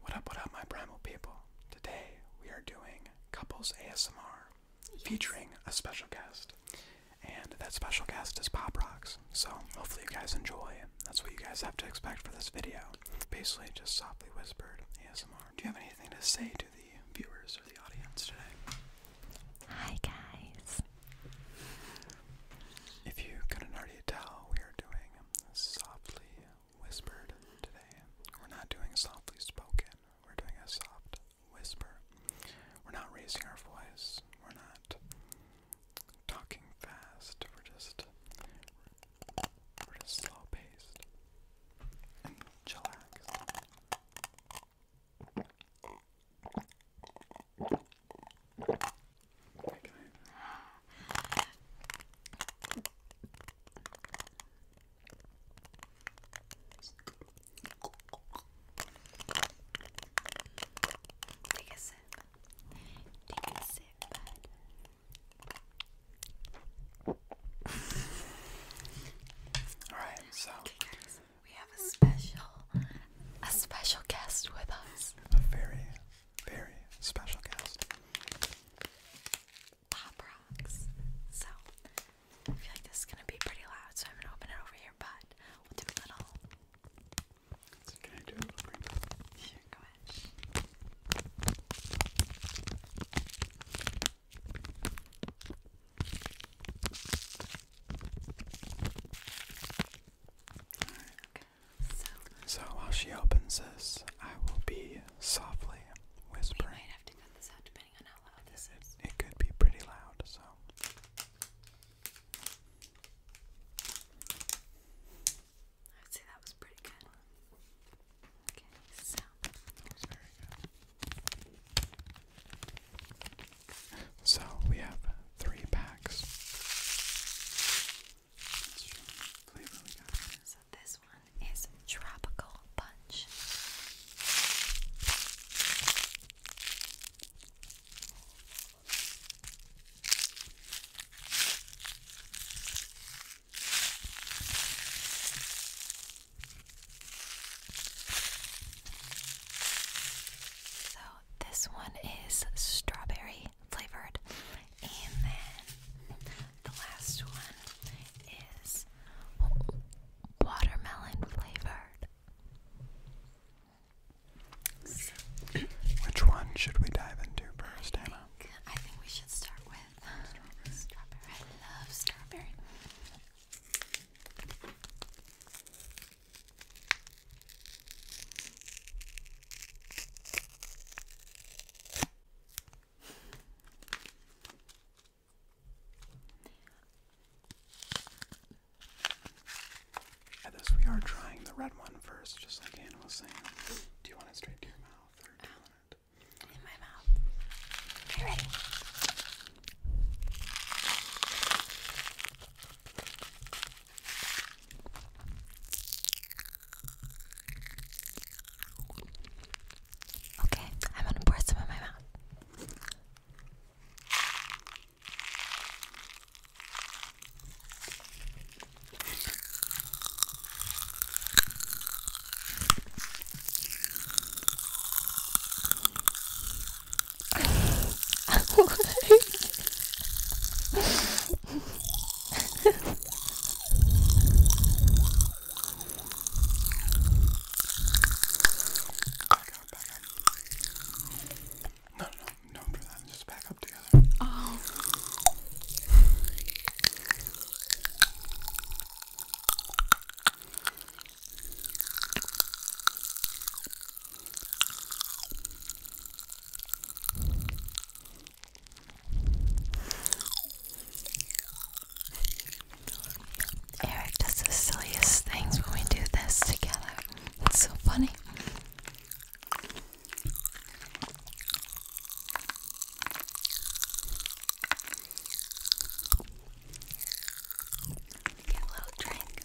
What up, what up, my primal people? Today we are doing Couples ASMR featuring a special guest. And that special guest is Pop Rocks. So hopefully you guys enjoy. That's what you guys have to expect for this video. Basically, just softly whispered ASMR. Do you have anything to say to the viewers or the audience today? Hi, guys. If you could already tell, we are doing softly whispered today. We're not doing softly spoken. We're doing a soft whisper. We're not raising our voice. We're not talking fast. We're just we're just slow paced and chillax. Take a sip. Take a sip, Alright, so we have a special a special guest with us. A very very special guest. Pop rocks. So, I feel like this is gonna be pretty loud, so I'm gonna open it over here, but we'll do a little. So, while she opens this, I will be softly whispering. We might have to cut this out depending on how loud this it, is. It could be pretty loud, so. I'd say that was pretty good. Okay, so. That was very So we have three packs. So this one is Tropical Punch. So this one is strawberry flavored. And then the last one is watermelon flavored. Which one should we dive into first, I I think we should start with uh, strawberry. I love strawberry. At we are trying the red one first, just like Anna was saying. Do you want it straight to your mouth, or um, in my mouth? Okay, ready. Okay, I'm gonna pour some in my mouth. No, no, no, for that. Just back up together. Oh. Eric does the silliest things when we do this together. It's so funny. Get a little drink.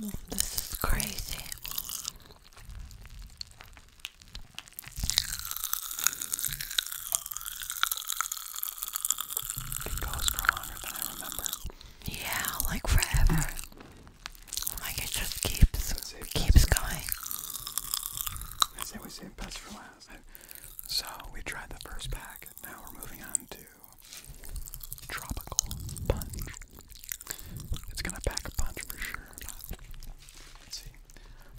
This is crazy. Yeah, like forever. Like it just keeps keeps going. I say we save best for last. So we tried the first pack. Now we're moving on to tropical punch. It's gonna pack a punch for sure. let's see.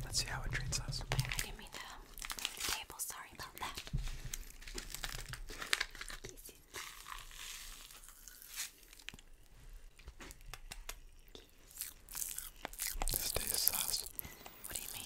Let's see how it treats us. I did the table. Sorry about that. This tastes sauce. What do you mean?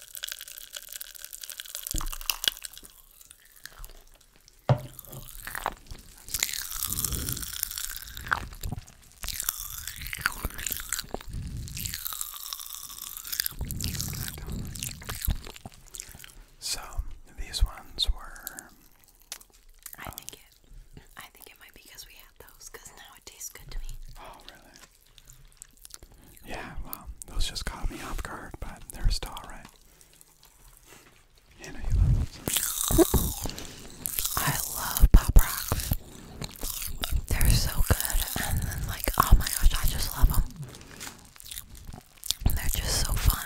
So these ones were. I think it. I think it might be because we had those. Because now it tastes good to me. Oh really? Yeah, well, those just caught me off guard, but they're still alright. Hannah, you love those. I love Pop Rocks. They're so good, and like, oh my gosh, I just love them. They're just so fun.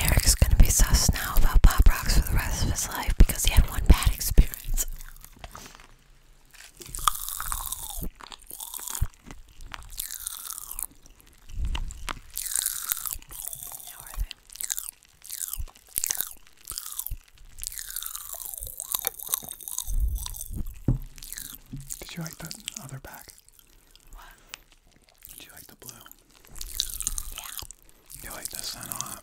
Eric's gonna be sus now about Pop Rocks for the rest of his life because he had one bad experience. Did you like that other bag? What? Did you like the blue? Yeah. You like this one a lot.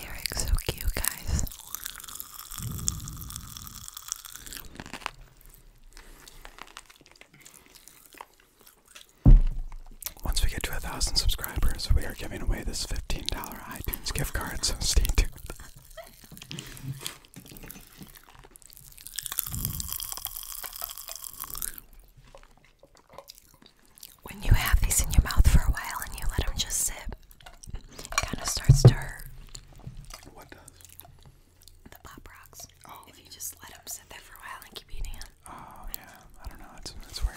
Eric's so cute, guys. Once we get to a thousand subscribers, we are giving away this $15 iTunes gift card, so stay tuned. When you have these in your mouth for a while and you let them just sit, it kind of starts to What does? The pop rocks. Oh, if you just let them sit there for a while and keep eating them. Oh yeah, I don't know. That's that's weird.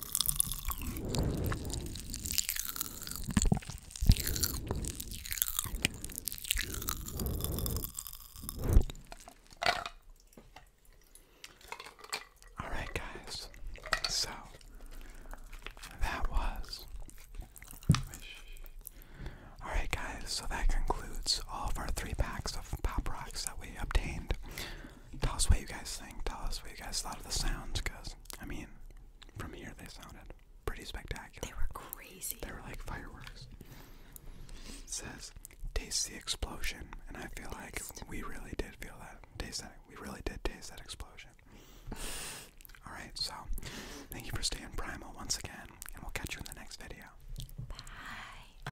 All right, guys. So that was. All right, guys. So that concludes all of our three packs of pop rocks that we obtained. Tell us what you guys think. Tell us what you guys thought of the sounds, because I mean, from here they sounded pretty spectacular. They were crazy. They were like fireworks. says, taste the explosion, and I feel like we really did feel that. Taste that. We really did taste that explosion. All right, so thank you for staying primal once again, and we'll catch you in the next video. Bye.